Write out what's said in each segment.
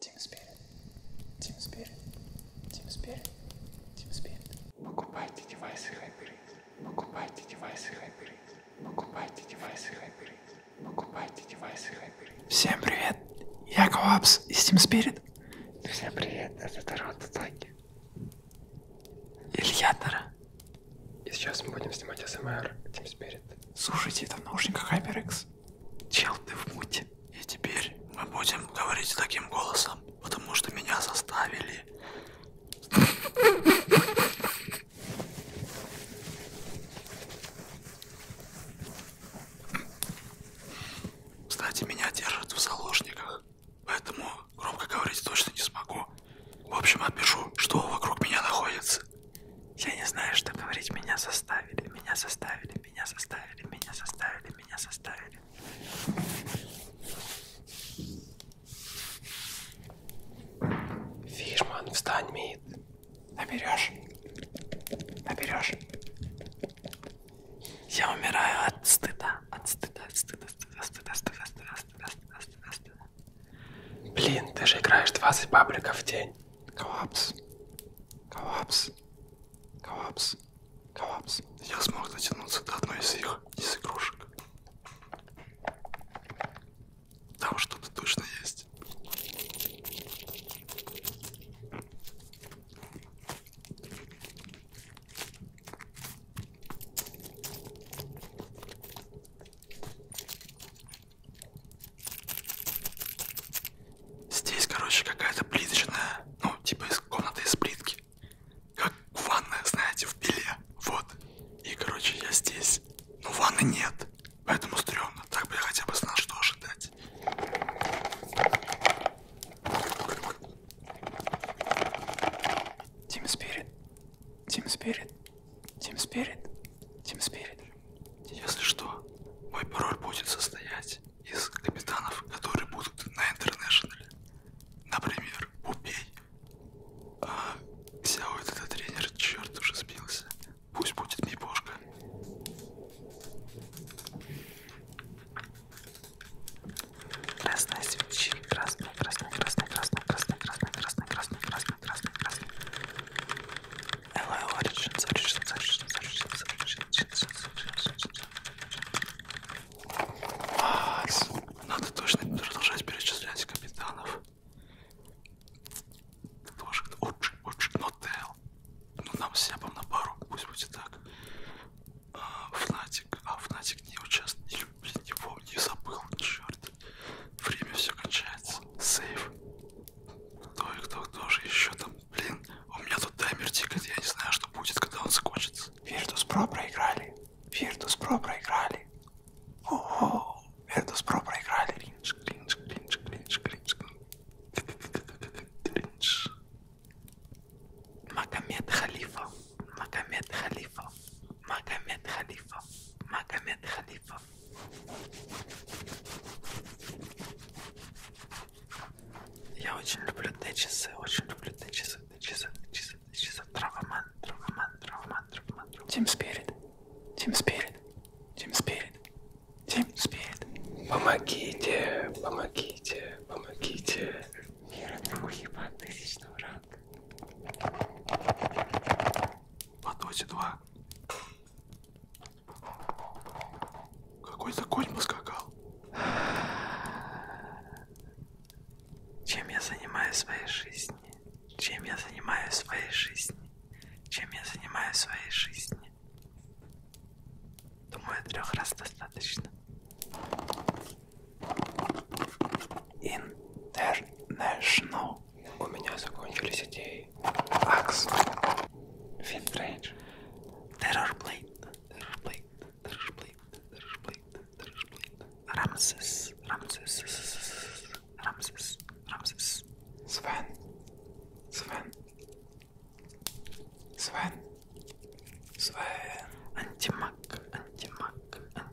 Team Spirit. Team Spirit. Team Spirit. Team Spirit. Покупайте девайсы HyperX. Покупайте девайсы HyperX. Покупайте девайсы HyperX. Покупайте девайсы HyperX. Всем привет! Я Коллапс из Team Spirit. Всем привет, это Торонто Таки. Илья Тара. И сейчас мы будем снимать СМР Team Spirit. Слушайте, это в наушниках HyperX. Чел, ты в муте. И теперь мы будем говорить таким голосом, потому что меня заставили. Кстати, меня держат в заложниках, поэтому громко говорить точно не смогу. В общем, опишу, что вокруг меня находится. Я не знаю, что говорить. Меня заставили, меня заставили, меня заставили, меня заставили, меня заставили. Фишман, встань, мид. Наберешь. Наберешь. Я умираю от стыда, от стыда, от стыда, стыда, стыда, стыда, стыда, стыда, стыда, стыда, стыда. Блин, ты же играешь 20 бабликов в день. Коллапс. Коллапс. Коллапс. Коллапс. Я смог дотянуться до одной из их, из игрушек. Там что-то точно есть. Здесь, короче, какая-то плиточная, ну, типа из комнаты из плитки. Как ванная, знаете, в пиле. Вот. И, короче, я здесь. Но ну, ванны нет. Поэтому стрёмно. Так бы я хотя бы знал, что ожидать. Тим Спирит. Тим Спирит. Team Spirit. Team Spirit. Если что, мой пароль будет состоять из капитанов, которые будут на интернешнале. Например, Пупей. А Сяо этот тренер, черт уже сбился. Пусть будет Мипошка. Красная свечи, красная, красная, красная, красная, красная, красная, красная, красная, красная, красная красный, красный, красный. Hello, Origins, Origins, Origins, Origins, Origins, Origins, Origins. Надо точно продолжать перечислять капитанов. Тоже очень, очень, но Тейл. Ну, нам всем на пару, пусть будет так. Фнатик, а Фнатик не участвовал, не, не помню, не забыл, черт. Время все кончается. Сейф. Кто и кто, кто же еще там? Блин, у меня тут таймер тикает, я не знаю, что будет, когда он закончится. Virtus Pro проиграли. Virtus Pro проиграли. О-о-о, Virtus Pro проиграли. Кринж, кринж, кринж, кринж, кринж, кринж. Магомед Халифа. Магомед Халифа. Магомед Халифа. Магомед Халифа графа. Я очень люблю Т-часы, очень люблю Т-часы, Т-часы, Т-часы, Т-часы. Травоман, травоман, травоман, травоман. Тим Спирит, Тим Спирит, Тим Спирит, Тим Спирит. Помогите, помогите, помогите. Мира, ты уебан тысячного ранга по доте 2. Какой-то конь поскакал. Чем я занимаюсь в своей жизни? Чем я занимаюсь в своей жизни? Чем я занимаюсь в своей жизни? Думаю, трех раз достаточно. International. У меня закончились идеи. Акс. Финфрейдж. Террорплейт. Террорплейт. Террорплейт. Террорплейт. Террорплейт. Рамсес. Рамсес. Рамсес. Рамсес. Свен. Свен. Свен. Свен. Антимаг. Антимаг.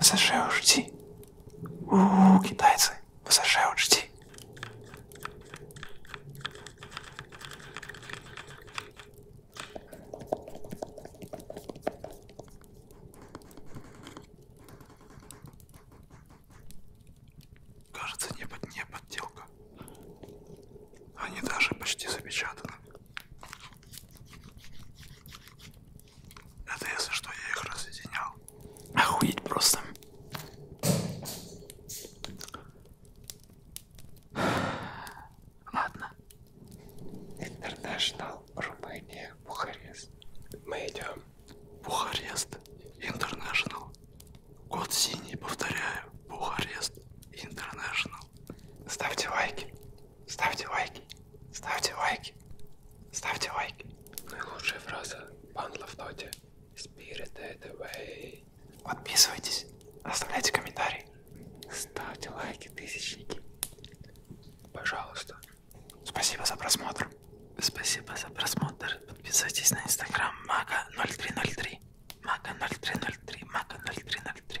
ВСЖ учти. У-у-у, китайцы, ВСЖ учти. Кажется, не, под, не подделка. Они даже почти запечатаны. Это если что, я их разъединял. Охуеть просто. Ладно. Интернешнл, Румыния, Бухарест. Мы идем. Бухарест, Интернешнл. Код синий, повторяю. Бухарест, Интернешнл. Ставьте лайки. Ставьте лайки, ставьте лайки, ставьте лайки. Наилучшая фраза Пандла в ноте. Spirited away. Подписывайтесь, оставляйте комментарии. Ставьте лайки, тысячники. Пожалуйста. Спасибо за просмотр. Спасибо за просмотр. Подписывайтесь на инстаграм Мака 0303. Мака 0303. Мака 0303.